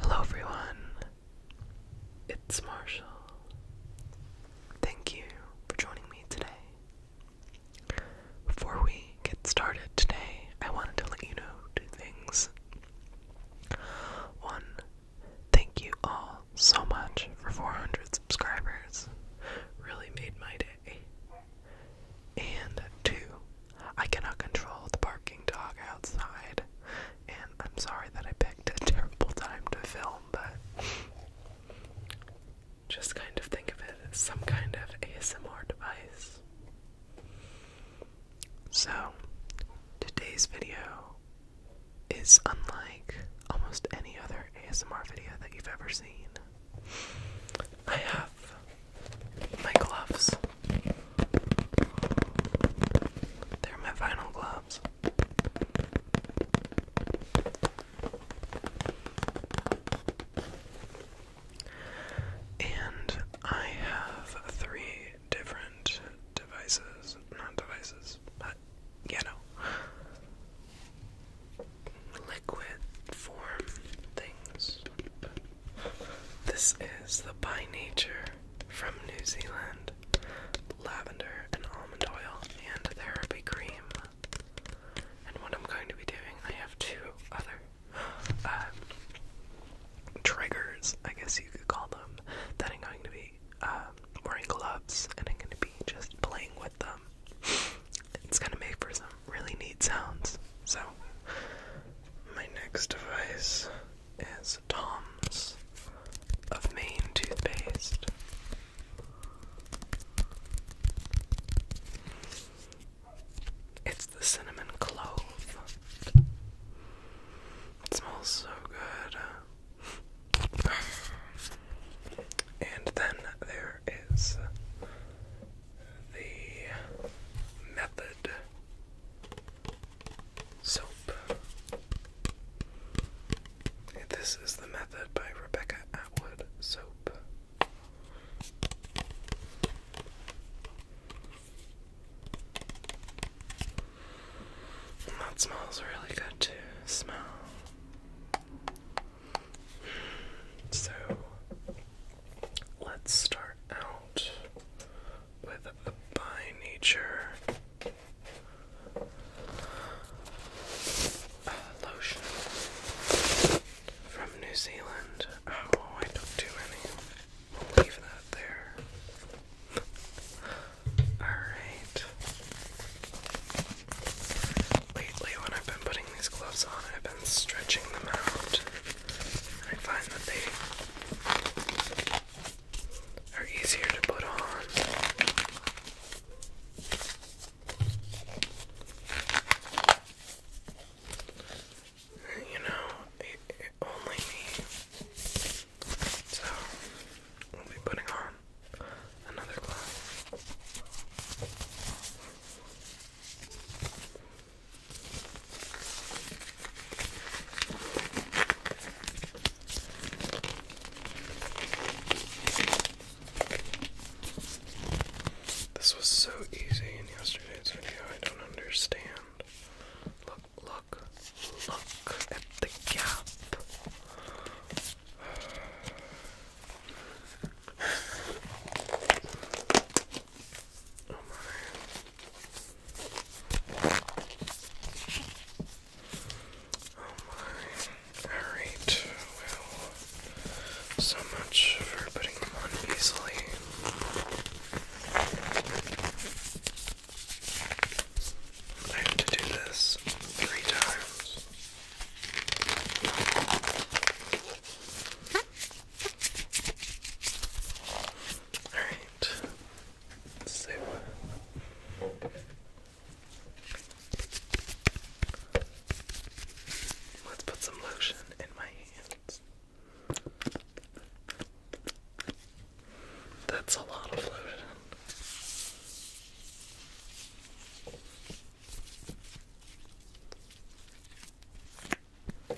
Hello, everyone. It's Marshall. Thank you for joining me today. Before we get started today, I wanted to let you know two things. One, thank you all so much for 400 subscribers. Really made my day. And two, I cannot control the barking dog outside, and I'm sorry that I picked a terrible time to film, but just kind of think of it as some kind of ASMR device. So, today's video is unlike almost any other ASMR video that you've ever seen. I have my gloves they're my vinyl gloves. And I have three different devices, not devices, but you know, liquid form things this is the By Nature from New Zealand lavender and almond oil and therapy cream. And what I'm going to be doing, I have two other um, triggers, I guess you could call them, that I'm going to be um, wearing gloves and I'm going to be just playing with them. It's going to make for some really neat sounds. So, my next device is Tom's of Maine toothpaste. It's the cinnamon clove. It smells so good. And then there is the method soap. this is the method by Rebecca Atwood soap. that smells really good to smell. So Let's start out with a by nature lotion from New Zealand. Oh, I took too many. we leave that there. Alright. Lately, when I've been putting these gloves on, I've been stretching them out I find that they are easier to put on. You know, it, only me. So, we'll be putting on another glove. This was so easy in yesterday's video, I don't understand. Look, look, look at the gap. Alright, well, so much for putting them on easily. I have to do this three times. Alright. So let's put some lotion in my hands. That's a lot of lotion. I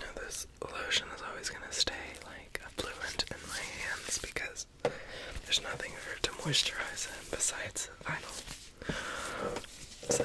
know this lotion is always going to stay like a fluent in my hands because there's nothing for it to moisturize it besides vinyl. So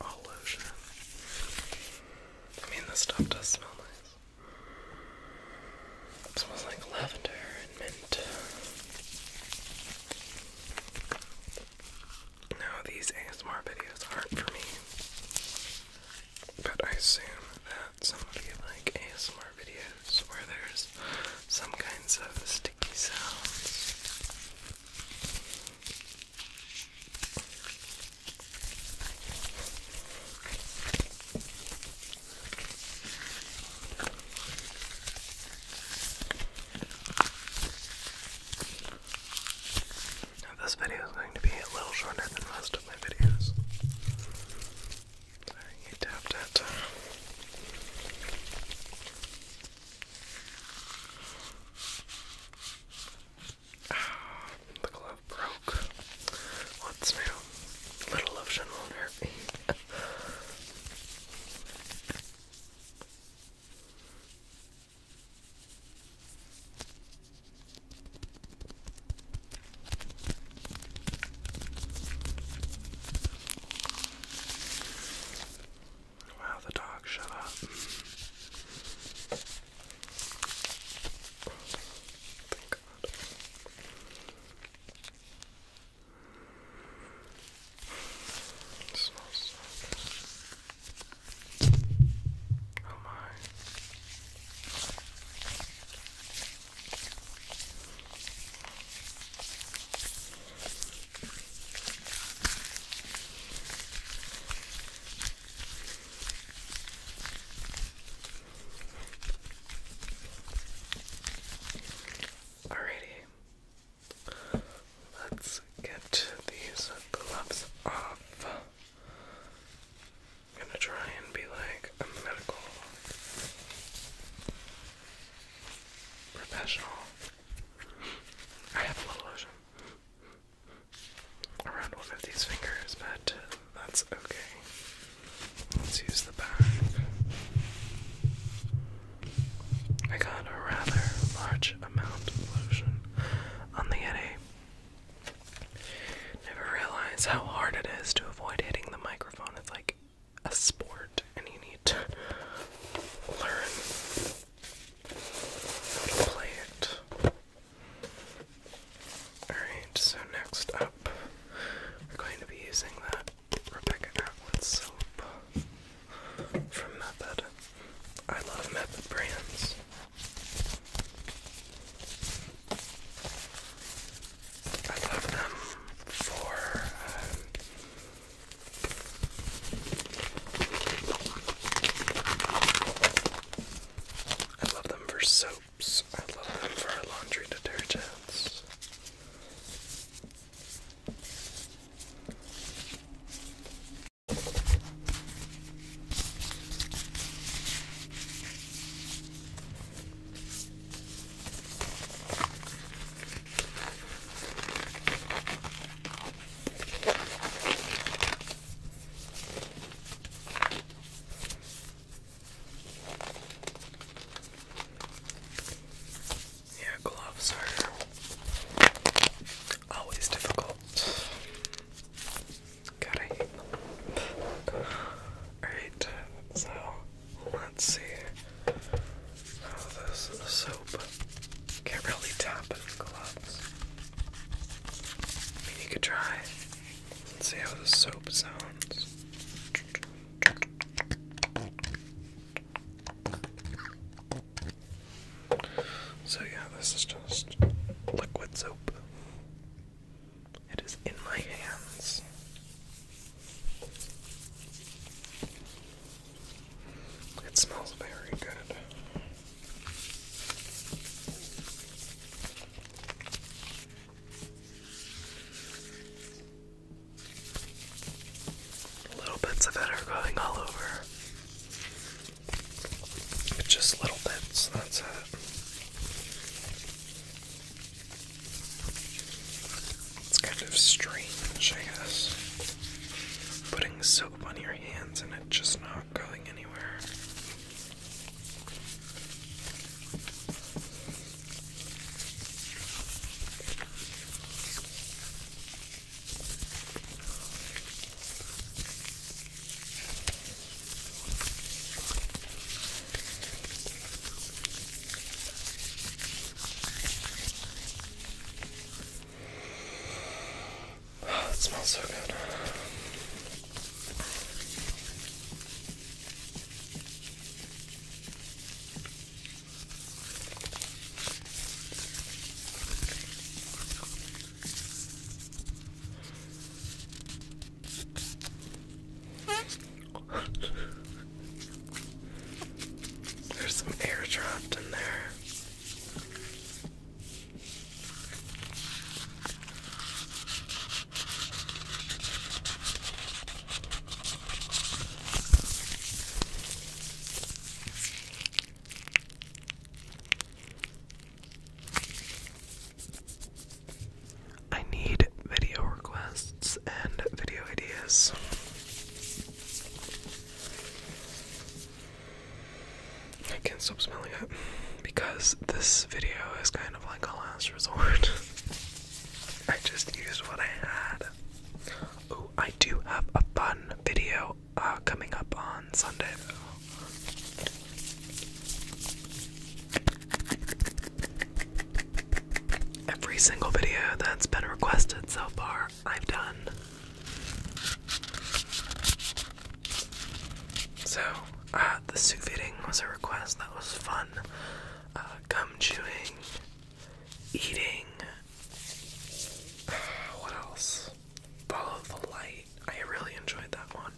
all lotion. I mean, this stuff does smell nice. It smells like lavender and mint. Now, these ASMR videos aren't for me, but I assume that somebody like ASMR videos where there's some kinds of sticky sounds this video is going to be a little shorter than most of my videos. you tapped it. Ah, the glove broke. What's new? Little lotion will Wow, the dog shut up. Thank God. It smells so good. Oh my. Alrighty, let's get these gloves off. I'm gonna try and be like a medical professional. I have a little lotion around one of these fingers, but uh, that's okay. Let's use the back. I got a rather large amount of lotion on the Yeti. Never realize how hard it is to avoid hitting the microphone. It's like a sport, and you need to learn play it. Alright, so next up, we're going to be using that Rebecca Atwood soap from Method. I love Method brands. I love them for um, I love them for soaps. I love them for laundry detergents. Yeah, gloves are always difficult. Gotta Alright, so let's see this soap can't really tap it with gloves. I you could try. let see how the soap sounds. So, yeah, this is just liquid soap. It is in my hands. It smells very good. Little bits of it are going all over. just little bits, that's it. It's kind of strange, I guess. Putting so one of your hands and it's just not going anywhere. Oh, it smells so good. There's some air trapped in there. I need video requests and video ideas. I can't stop smelling it because this video is kind of like a last resort. I just used what I had. Oh, I do have a fun video uh, coming up on Sunday Every single video that's been requested so far, I've done. So, uh, the suit fitting was a request that was fun. Uh, gum chewing, eating. what else? Follow the light. I really enjoyed that one.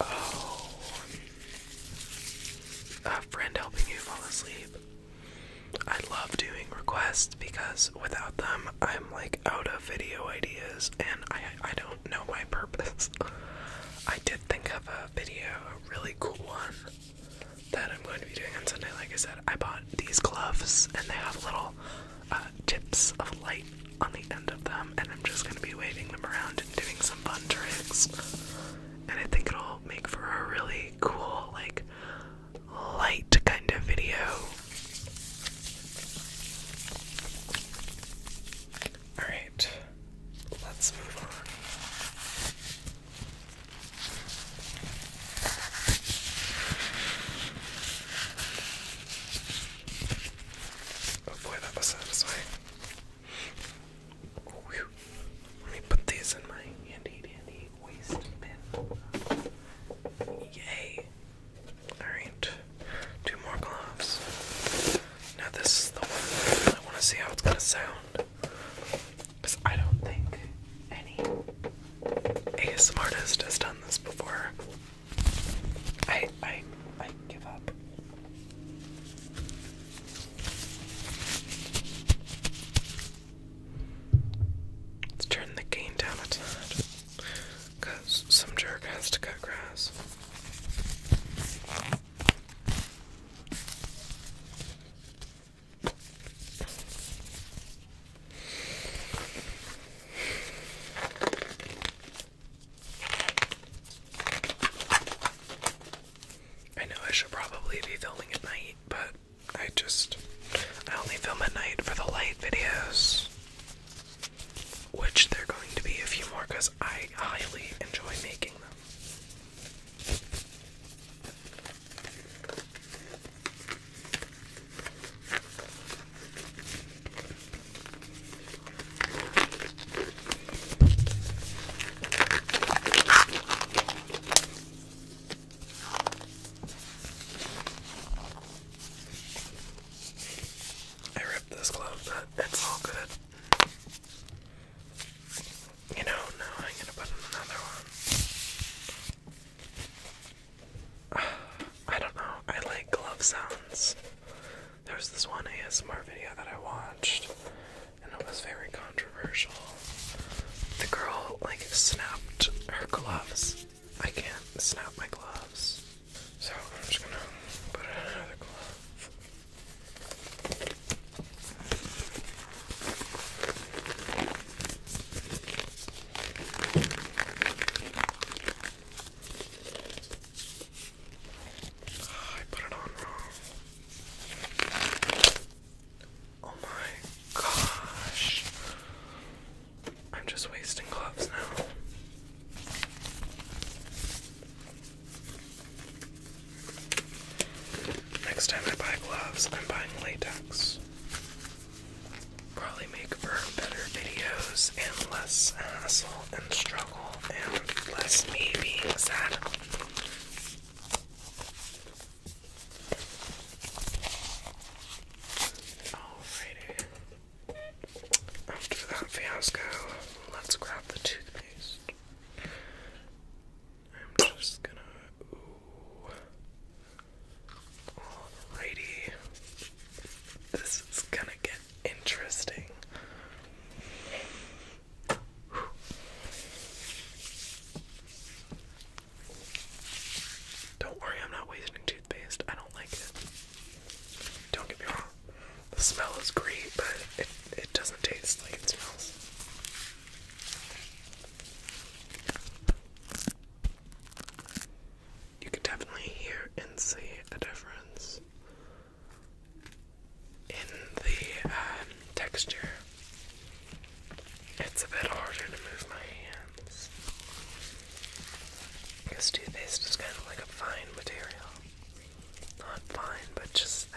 Oh, a friend helping you fall asleep. I love doing requests because without them, I'm like out of video ideas and I, I don't know my purpose. I did think of a video, a really cool one that I'm going to be doing on Sunday. Like I said, I bought these gloves and they have little uh, tips of light on the end of them, and I'm just going to be waving them around and doing some fun tricks. And I think it'll make for a really cool, like, light kind of video. Alright, let's move on. Oh boy, that was satisfying. Let me put these in my handy dandy a Alright, two more gloves. Now, this is the one I want to see how it's going to sound. Because I don't think any ASM artist has done this before. I, I, I give up. Let's turn the gain down a tad. Because some jerk has to cut grass. I know I should probably be filming at night, but I just I only film at night for the light videos. Which there are going to be a few more because I highly enjoy making them. I ripped this glove, but it's all good. You know, now I'm gonna put in another one. I don't know, I like glove sounds. There was this one ASMR video that I watched, and it was very controversial. The girl, like, snapped her gloves I can't snap my gloves. So I'm just gonna put on another glove. Ah, I put it on wrong. Oh my gosh. I'm just wasting gloves now. Next time I buy gloves, I'm buying latex. Probably make for better videos and less hassle and struggle and less me being sad. Alrighty. After that fiasco, let's grab the toothpaste. I'm just gonna. Alrighty. This is gonna get interesting. Don't worry, I'm not wasting toothpaste. I don't like it. Don't get me wrong. The smell is great, but it it doesn't taste like it smells. You could definitely hear and see a difference in the um, texture it's a bit harder to move my hands. Because toothpaste is kind of like a fine material. Not fine, but just thick.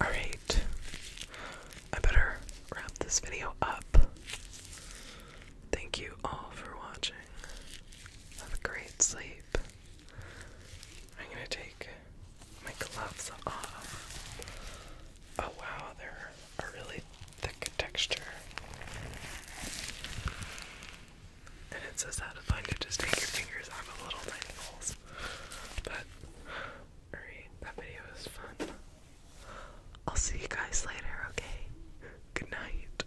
All right, I better wrap this video up. Thank you all for watching. Have a great sleep. I'm gonna take my gloves off. Oh wow, they're a really thick texture. And it's so satisfying to just take your fingers out of little tiny holes. But, alright, that video was fun. I'll see you guys later, okay? Good night.